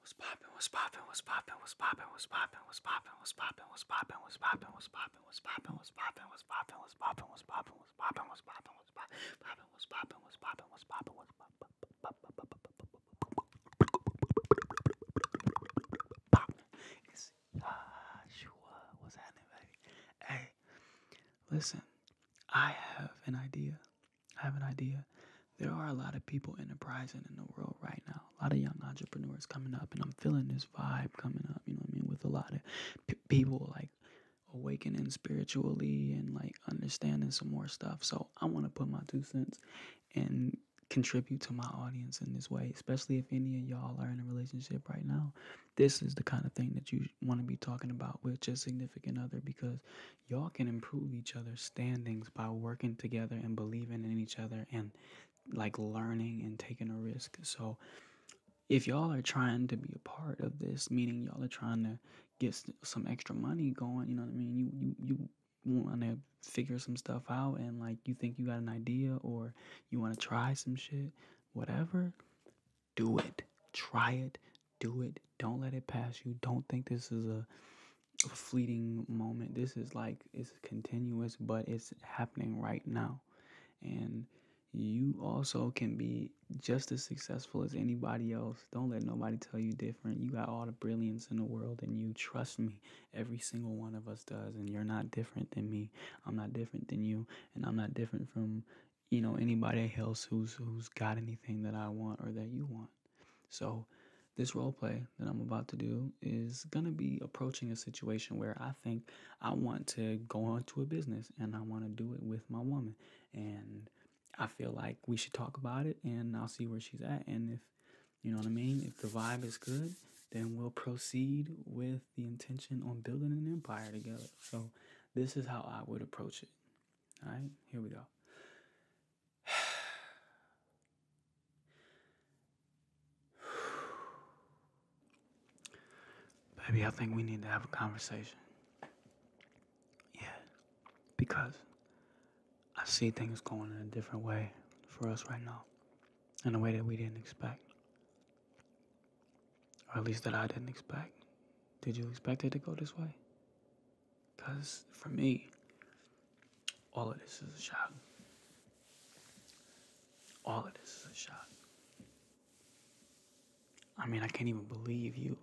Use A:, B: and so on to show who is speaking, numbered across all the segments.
A: What's poppin'? What's poppin'? What's poppin'? What's poppin'? What's poppin'? What's poppin'? What's poppin'? What's poppin'? What's poppin'? What's poppin'? What's poppin'? What's poppin'? What's poppin'? What's poppin'? What's poppin'? What's poppin'? What's poppin'? What's poppin'? Poppin'? What's poppin'? What's poppin'? What's poppin'? What's poppin'? It's Joshua. What's happening, baby? Hey, listen. I have an idea. I have an idea. There are a lot of people enterprising in the world right now. A lot of young entrepreneurs coming up, and I'm feeling this vibe coming up. You know what I mean? With a lot of people like awakening spiritually and like understanding some more stuff. So I want to put my two cents and contribute to my audience in this way, especially if any of y'all are in a relationship right now. This is the kind of thing that you want to be talking about with your significant other because y'all can improve each other's standings by working together and believing in each other and like learning and taking a risk. So if y'all are trying to be a part of this, meaning y'all are trying to get some extra money going, you know what I mean? You you you want to figure some stuff out and like you think you got an idea or you want to try some shit, whatever, do it. Try it. Do it. Don't let it pass you. Don't think this is a fleeting moment. This is like it's continuous, but it's happening right now. And you also can be just as successful as anybody else. Don't let nobody tell you different. You got all the brilliance in the world, and you trust me. Every single one of us does, and you're not different than me. I'm not different than you, and I'm not different from you know anybody else who's who's got anything that I want or that you want. So, this role play that I'm about to do is going to be approaching a situation where I think I want to go on to a business and I want to do it with my woman. And I feel like we should talk about it and I'll see where she's at. And if, you know what I mean, if the vibe is good, then we'll proceed with the intention on building an empire together. So, this is how I would approach it. All right, here we go. Baby, I think we need to have a conversation. Yeah. Because I see things going in a different way for us right now, in a way that we didn't expect. Or at least that I didn't expect. Did you expect it to go this way? Because for me, all of this is a shock. All of this is a shock. I mean, I can't even believe you.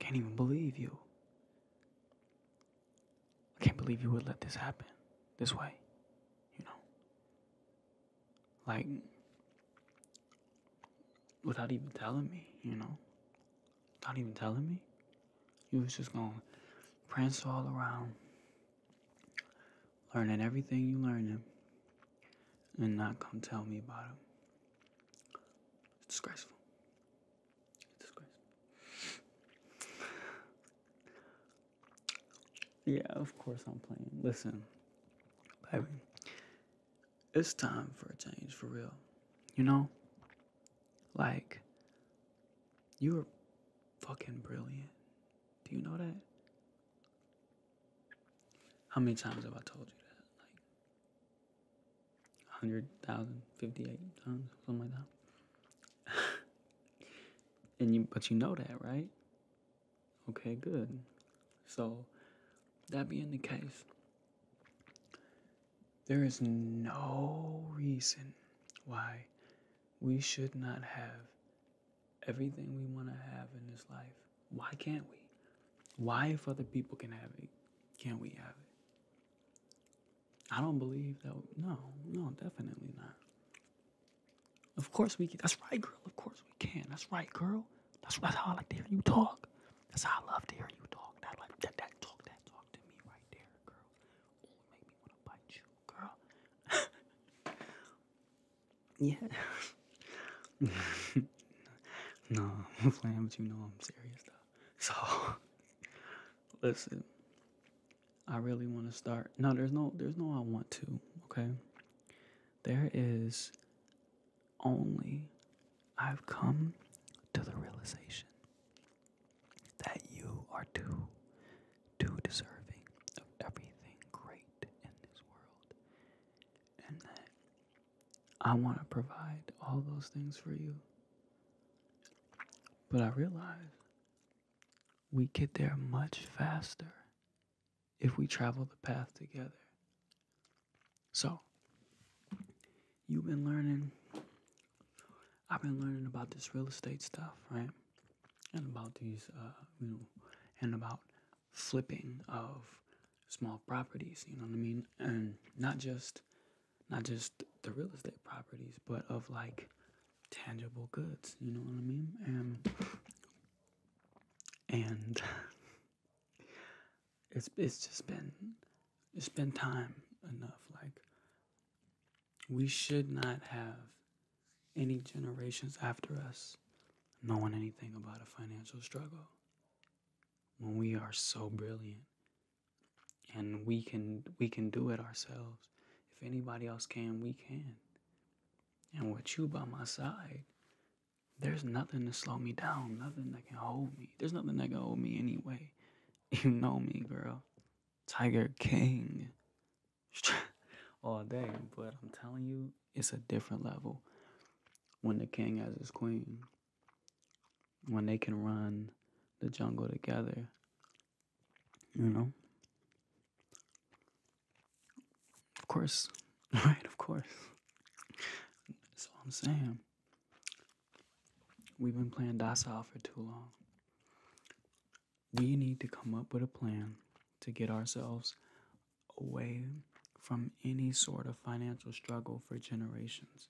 A: Can't even believe you. I can't believe you would let this happen this way, you know. Like, without even telling me, you know. Not even telling me. You was just going to prance all around, learning everything you learning, and not come tell me about it. It's disgraceful. It's disgraceful. yeah, of course I'm playing. Listen, baby, it's time for a change, for real. You know, like, you are fucking brilliant. Do you know that? How many times have I told you that? Like, 100,000, times, something like that. and you, but you know that, right? Okay, good. So, that being the case, there is no reason why we should not have everything we want to have in this life. Why can't we? Why, if other people can have it, can't we have it? I don't believe that. No, no, definitely not. Of course we can. That's right, girl. Of course we can. That's right, girl. That's, that's how I like to hear you talk. That's how I love to hear you talk. That like that talk that talk to me right there, girl make me wanna bite you, girl. yeah. no, I'm playing with you. No, I'm serious though. So, listen. I really want to start. No, there's no, there's no. I want to. Okay. There is only. I've come to the realization that you are too, too deserving of everything great in this world, and that I want to provide all those things for you. But I realize we get there much faster if we travel the path together. So, you've been learning, I've been learning about this real estate stuff, right? And about these, uh, you know, and about flipping of small properties, you know what I mean? And not just, not just the real estate properties, but of like tangible goods, you know what I mean? And, and it's, it's just been, it's been time enough, like we should not have any generations after us knowing anything about a financial struggle when we are so brilliant and we can we can do it ourselves if anybody else can we can and with you by my side there's nothing to slow me down nothing that can hold me there's nothing that can hold me anyway you know me girl Tiger King. All oh, day, but I'm telling you, it's a different level when the king has his queen. When they can run the jungle together, you know? Of course, right? Of course. That's all I'm saying. We've been playing docile for too long. We need to come up with a plan to get ourselves away from any sort of financial struggle for generations.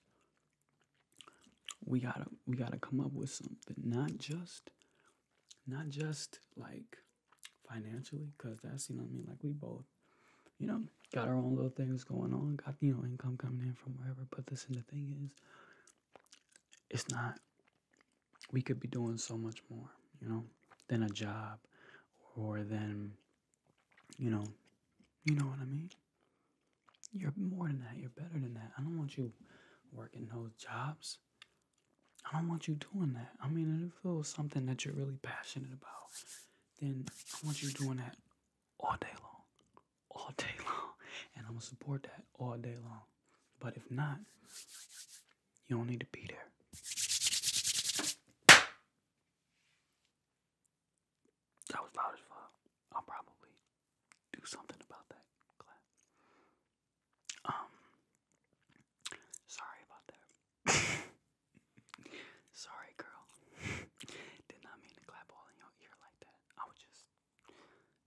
A: We gotta we gotta come up with something, not just not just like financially, cause that's you know I mean, like we both, you know, got our own little things going on, got you know income coming in from wherever. But listen, the thing is, it's not we could be doing so much more you know than a job or than you know you know what i mean you're more than that you're better than that i don't want you working those jobs i don't want you doing that i mean if it was something that you're really passionate about then i want you doing that all day long all day long, and I'm gonna support that all day long. But if not, you don't need to be there. That was loud as fuck. I'll probably do something about that clap. Um, sorry about that. sorry, girl. Did not mean to clap all in your ear like that. I was just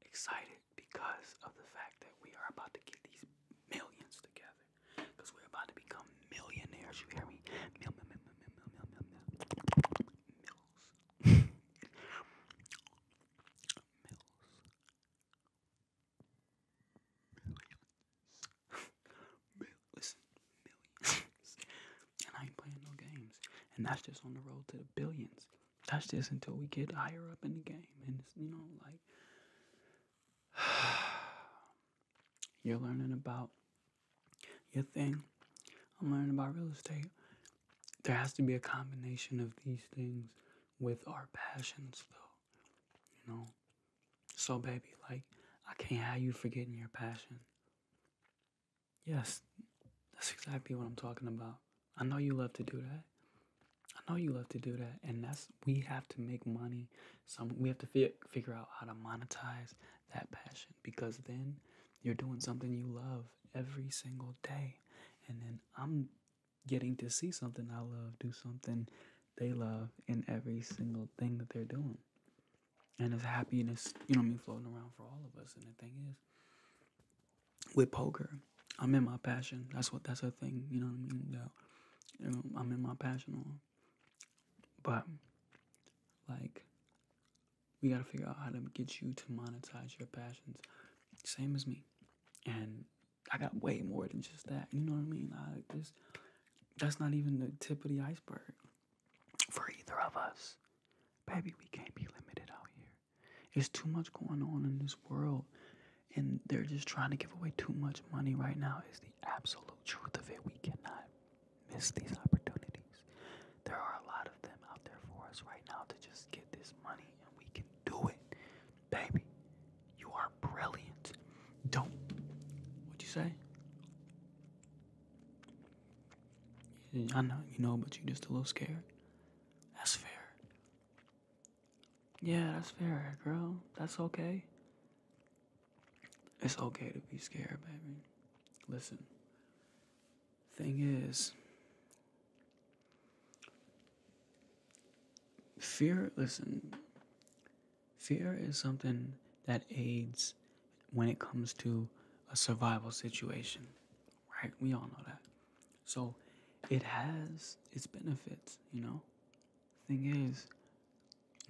A: excited because of the fact that we are about to get these millions together. Because we're about to become millionaires, you hear me? Mil, mil, mil, mil, mil, mil, mil, mil. Mills. Millions. millions. and I ain't playing no games. And that's just on the road to billions that's just until we get higher up in the game, and you know, like you're learning about your thing. I'm learning about real estate. There has to be a combination of these things with our passions, though, you know. So, baby, like I can't have you forgetting your passion. Yes, that's exactly what I'm talking about. I know you love to do that. I know you love to do that, and that's we have to make money. Some we have to fi- figure out how to monetize that passion because then you're doing something you love every single day, and then I'm getting to see something I love do something they love in every single thing that they're doing, and it's happiness, you know, what mean, floating around for all of us. And the thing is, with poker. I'm in my passion. That's what that's a thing. You know what I mean? Yeah. I'm in my passion. But like, we gotta figure out how to get you to monetize your passions. Same as me. And I got way more than just that. You know what I mean? I just that's not even the tip of the iceberg for either of us. Baby, we can't be limited out here here. There's too much going on in this world, and they're just trying to give away too much money right now, is the absolute truth of it. We cannot miss these opportunities. There are a lot of them out there for us right now to just get this money, and we can do it. Baby, you are brilliant. Don't. What'd you say? I know, you know, but you're just a little scared. That's fair. Yeah, that's fair, girl. That's okay. It's okay to be scared, baby. Listen, thing is, fear, listen, fear is something that aids when it comes to a survival situation right? We all know that. So it has its benefits, you know? Thing is,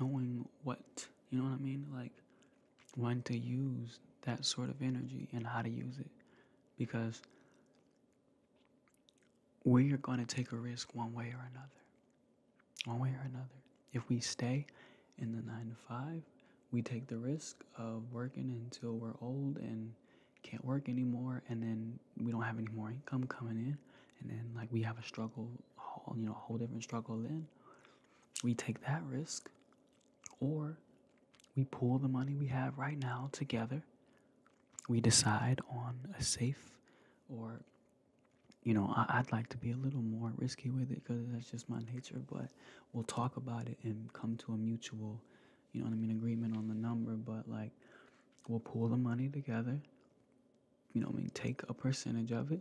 A: knowing what, you know what I mean? Like, when to use that sort of energy and how to use it. Because we are going to take a risk one way or another. One way or another. If we stay in the nine to five, we take the risk of working until we're old and can't work anymore and then we don't have any more income coming in and then like we have a struggle you know a whole different struggle then we take that risk or we pull the money we have right now together we decide on a safe or you know I, would like to be a little more risky with it because that's just my nature but we'll talk about it and come to a mutual, you know what I mean, agreement on the number. But like, we'll pull the money together. You know I mean? Take a percentage of it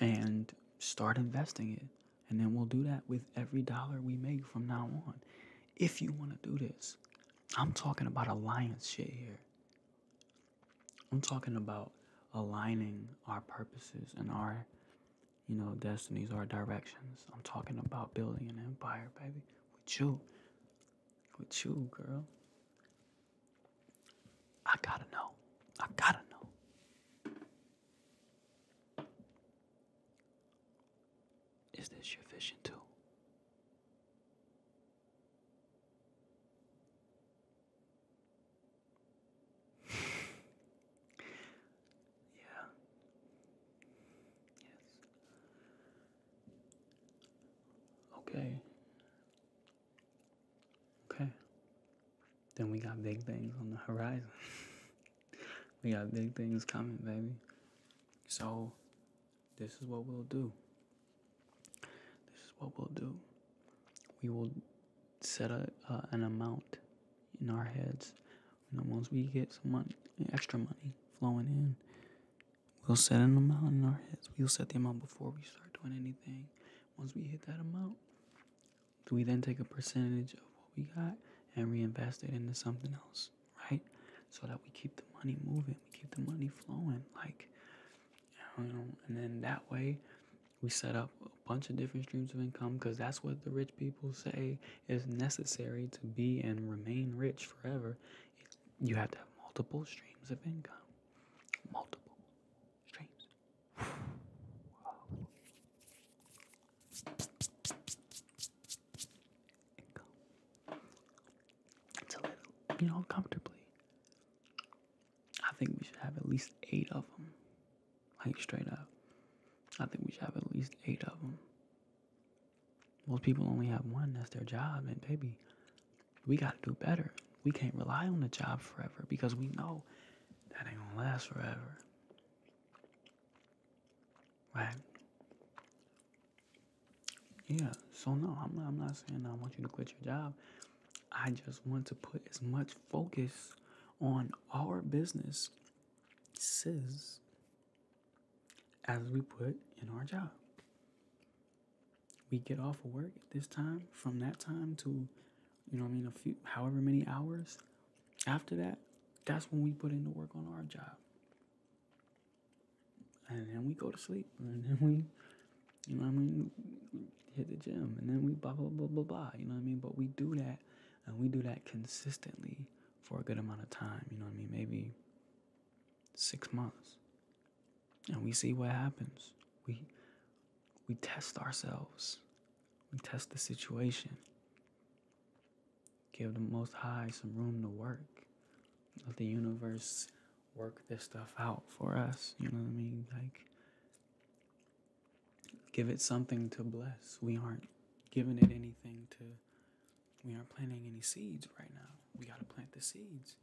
A: and start investing it. And then we'll do that with every dollar we make from now on. If you want to do this, I'm talking about alliance shit here. I'm talking about aligning our purposes and our you know, destinies are directions. I'm talking about building an empire, baby. With you. With you, girl. I gotta know. I gotta know. Is this your vision too? Yeah. Yes. Okay. Okay. Then we got big things on the horizon. we got big things coming, baby. So, this is what we'll do. This is what we'll do. We will set a, an amount in our heads. and once we get some money, extra money flowing in, we'll set an amount in our heads. We'll set the amount before we start doing anything. Once we hit that amount, do we then take a percentage of what we got and reinvest it into something else, right? So that we keep the money moving, we keep the money flowing, like you know, and then that way we set up a bunch of different streams of income because that's what the rich people say is necessary to be and remain rich forever. You have to have multiple streams of income. Multiple streams. To live, you know, comfortably. I think we should have at least eight of them. Like, straight up. I think we should have at least eight of them. Most people only have one, that's their job, and baby, we gotta do better. We can't rely on the job forever because we know that ain't gonna last forever. Right? Yeah, so no, I'm not saying I want you to quit your job. I just want to put as much focus on our business says as we put in our job. We get off of work at this time, from that time to, you know, I mean, a few, however many hours after that, that's when we put in the work on our job. And then we go to sleep, and then we, you know, I mean, hit the gym, and then we blah, blah, blah, blah, blah, you know what I mean? But we do that, and we do that consistently for a good amount of time, you know what I mean? Maybe six months. And we see what happens. We we test ourselves. We test the situation. Give the most high some room to work. Let the universe work this stuff out for us. You know what I mean? Like give it something to bless. We aren't giving it anything to, we aren't planting any seeds right now. We got to plant the seeds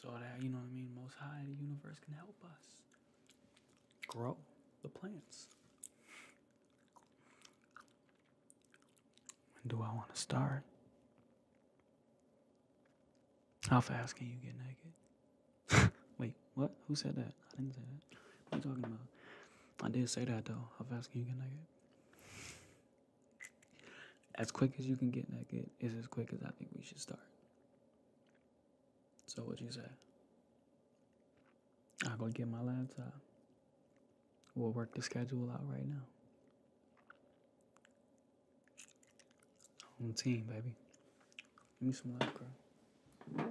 A: so that, you know what I mean, Most High, the universe can help us grow the plants. When do I want to start? How fast can you get naked? Wait, what? Who said that? I didn't say that that. What are you talking about? I did say that though. How fast can you get naked? As quick as you can get that, get is as quick as I think we should start. So what you say? I am gonna get my laptop. We'll work the schedule out right now. Home team, baby. Give me some love,